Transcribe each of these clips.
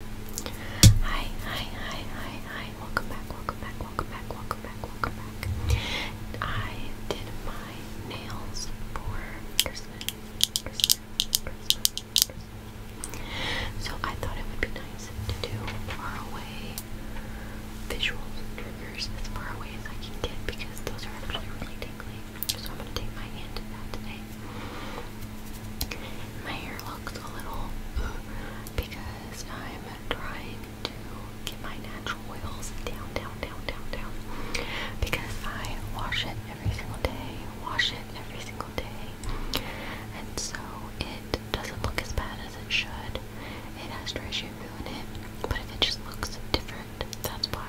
Hi, hi, hi, hi, hi. Welcome back, welcome back, welcome back, welcome back, welcome back. I did my nails for Christmas, So I thought it would be nice to do far away visuals and triggers as far away as I can get because those are actually really tingly. So I'm going to take my hand to that today. My hair looks a little uh, because I'm trying to get my natural oils down, down, down, down, down. Because I wash it every single day, wash it every single day, and so it doesn't look as bad as it should. It has dry shampoo in it, but it just looks different. That's why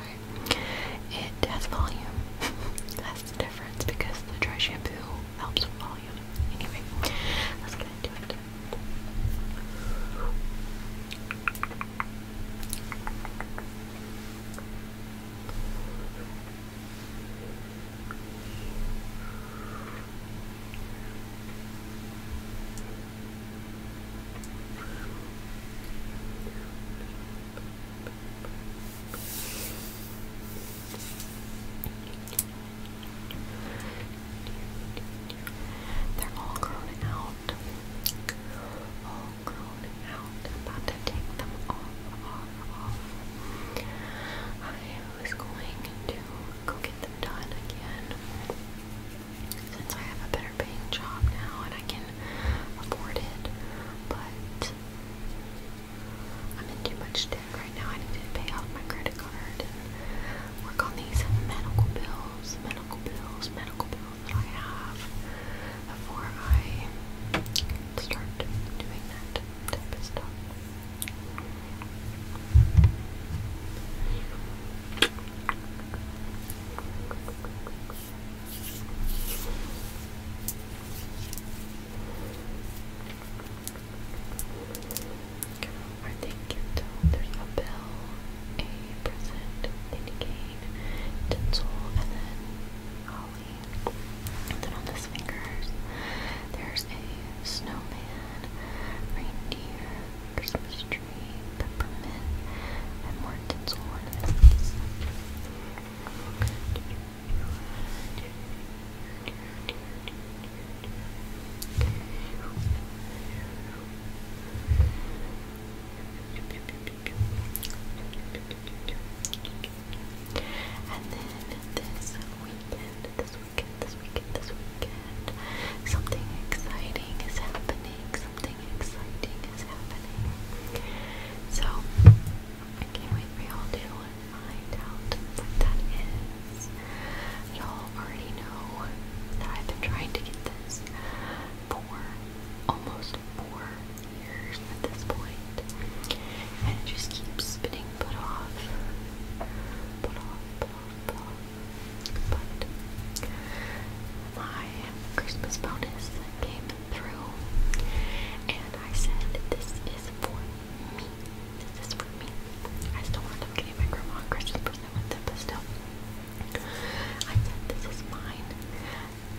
it has volume. It has that's difference because the dry shampoo helps with volume. Anyway, let's get into it. They're all grown out. All grown out. about to take them off, off, off. I was going to go get them done again. Since I have a better paying job now and I can afford it. But I'm in too much debt right now. I need to pay off my credit card and work on these medical bills, medical bills, medical bills that I have before I start doing that type of stuff. Or they can tell there's a bill, a present, Lady Kane, tinsel, and then holly. And then on his fingers, there's a snowman, reindeer, Christmas tree, peppermint, and more tinsel and then this weekend, this weekend, this weekend, this weekend, something exciting is happening. Something exciting is happening. So I can't wait for y'all to find out what that is. Y'all already know that I've been trying to get this for almost four years at this point, and it just keeps spinning, put off, put off, put off, put off. But my Christmas bonus came through and I said, This is for me. This is for me. I still want them getting my grandma Christmas present with them, but still. I said, This is mine.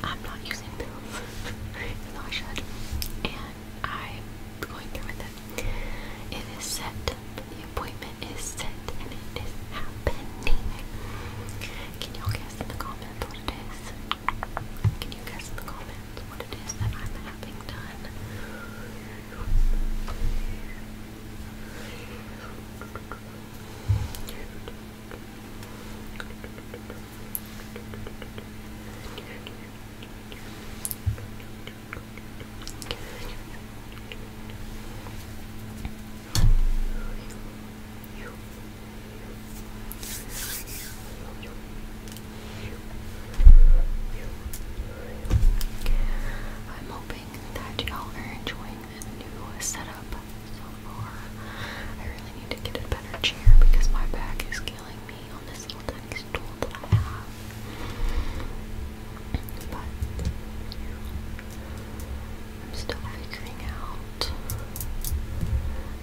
I'm not using pills, even I should. And I'm going through with it. It is set. The appointment is set and it is happening. Can y'all guess in the comments what Can you guess the comments what it is that I'm having done? I'm hoping that y'all are enjoying the new setup so far. I really need to get a better chair because my back is killing me on this little tiny stool that I have. But I'm still figuring out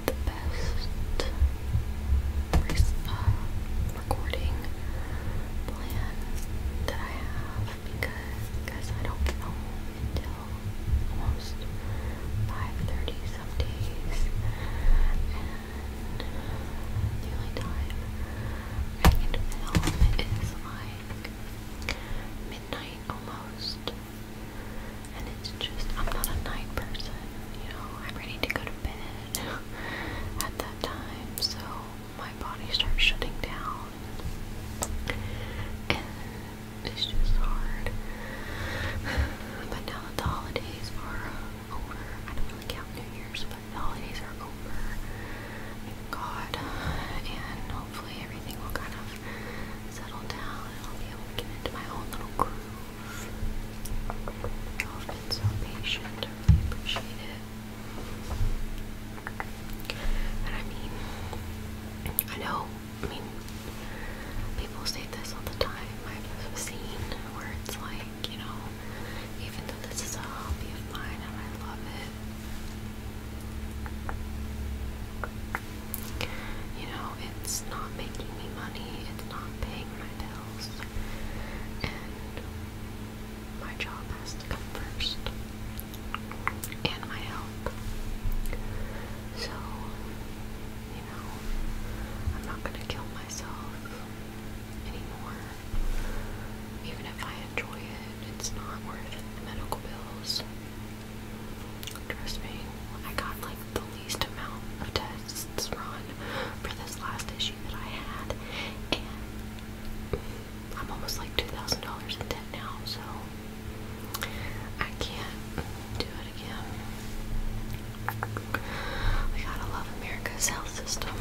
the best uh, recording plan that I have because guys, I don't film until almost 5.30 some days and the only time I can film is like midnight almost. And it's just, I'm not a night person, you know, I'm ready to go to bed at that time, so my body starts shutting down. And it's just hard. But now that the holidays are over, I don't really count New Year's, but the holidays are over. Thank God. And hopefully everything will kind of settle down and I'll be able to get into my own little groove. you have been so patient, I really appreciate it. And I mean, I know, I mean, people say this all the time. I've seen words like, you know, even though this is a hobby of mine and I love it, you know, it's not making me money, it's not paying my bills, and my job has to come first, and my health. So, you know, I'm not gonna kill myself anymore, even if I enjoy it. It's not worth it. The medical bills. Trust me, I got like the least amount of tests run for this last issue that I had, and I'm almost like $2,000 in debt now, so I can't do it again. We gotta love America's health system.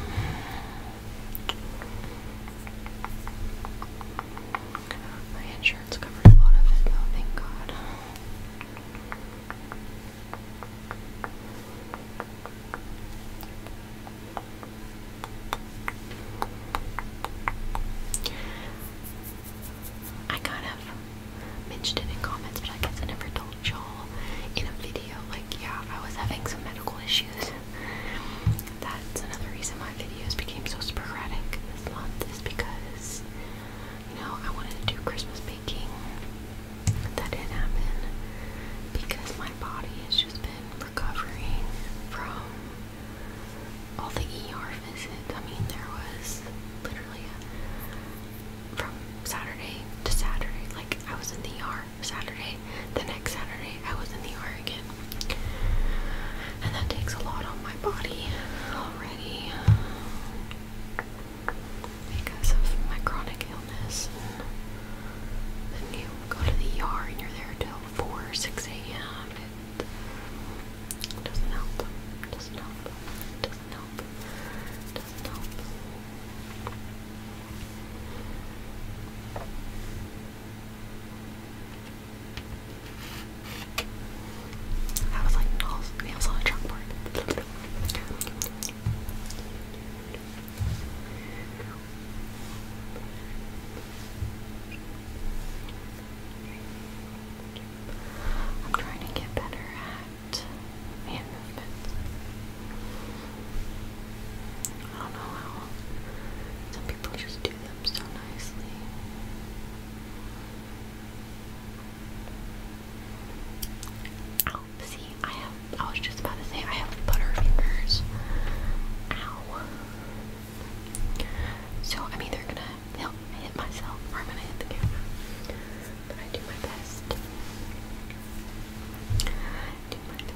My insurance covered a lot of it, though, thank God. I kind of mentioned it in comments, but I guess I never told y'all in a video. Like, yeah, I was having some medical issues. That's another reason my videos became so sporadic this month is because you know I wanted to do Christmas baking. That didn't happen because my body has just been recovering from all the ER visits. I mean, there was literally from Saturday to Saturday, like I was in the ER Saturday. The next Saturday, I was in the Oregon. And that takes a lot on my body already because of my chronic illness. then you go to the ER and you're there till 4 6 a.m. doesn't help. Doesn't help. Doesn't help. Doesn't help. I was like nails, nails on a chalkboard. I'm trying to get better at hand movements. I don't know how. Some people just do them so nicely. Ow, see, I have, I was just about to say, I have butter fingers. Ow. So I'm either gonna help hit myself or I'm gonna hit the camera. But I do my best. I do my best.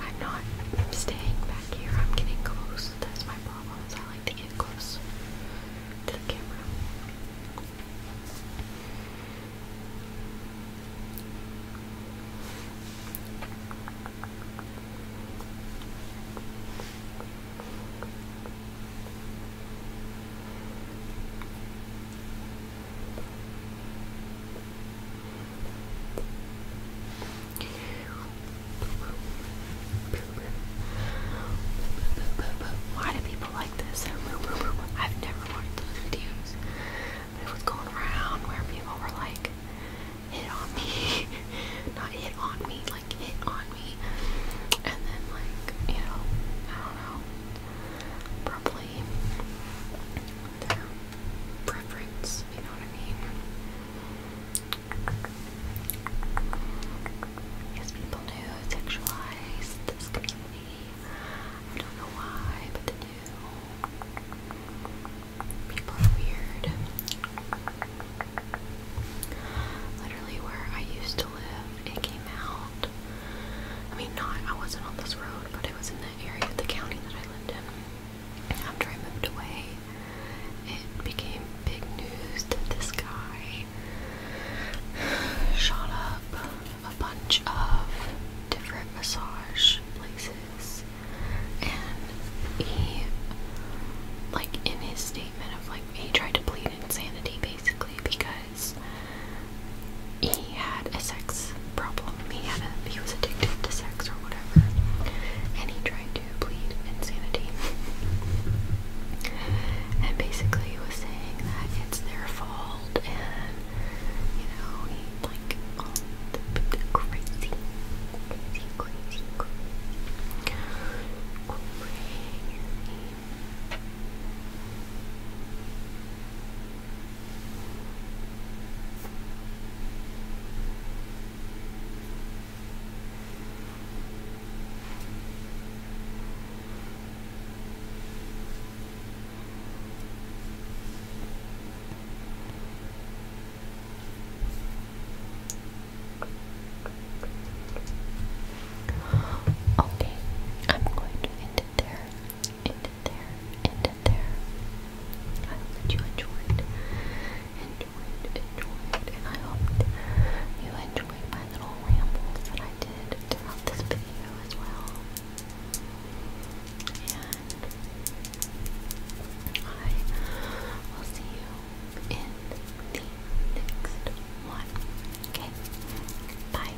I'm not staying back here. I'm getting close. That's my problem. Is I like to get close to the camera. Why do people like this? I've never watched those videos. it was going around where people were like, hit on me. Not hit on me, like hit on me. And then like, you know, I don't know. Probably their preference, you know what I mean? Yes, people do sexualize this community. I don't know why, but do. People are weird. Literally, where I used to live, it came out. I mean, not I wasn't on this road, but it was in the area of the county that I lived in. After I moved away, it became big news that this guy shot up a bunch of different massage places, and he, like, in his statement of like, he tried to plead insanity basically because he he had a sex problem. He had a he was addicted to sex or whatever, and he tried to plead insanity. and basically, he was saying that it's their fault, and you know, he like all the crazy, crazy, crazy, crazy. Okay, I'm going to end it there end there, end there. I hope that you enjoyed, enjoyed, enjoyed, I hope you enjoyed my little rambles that I did throughout this video as well. And I will see you in the next one. Okay? Bye.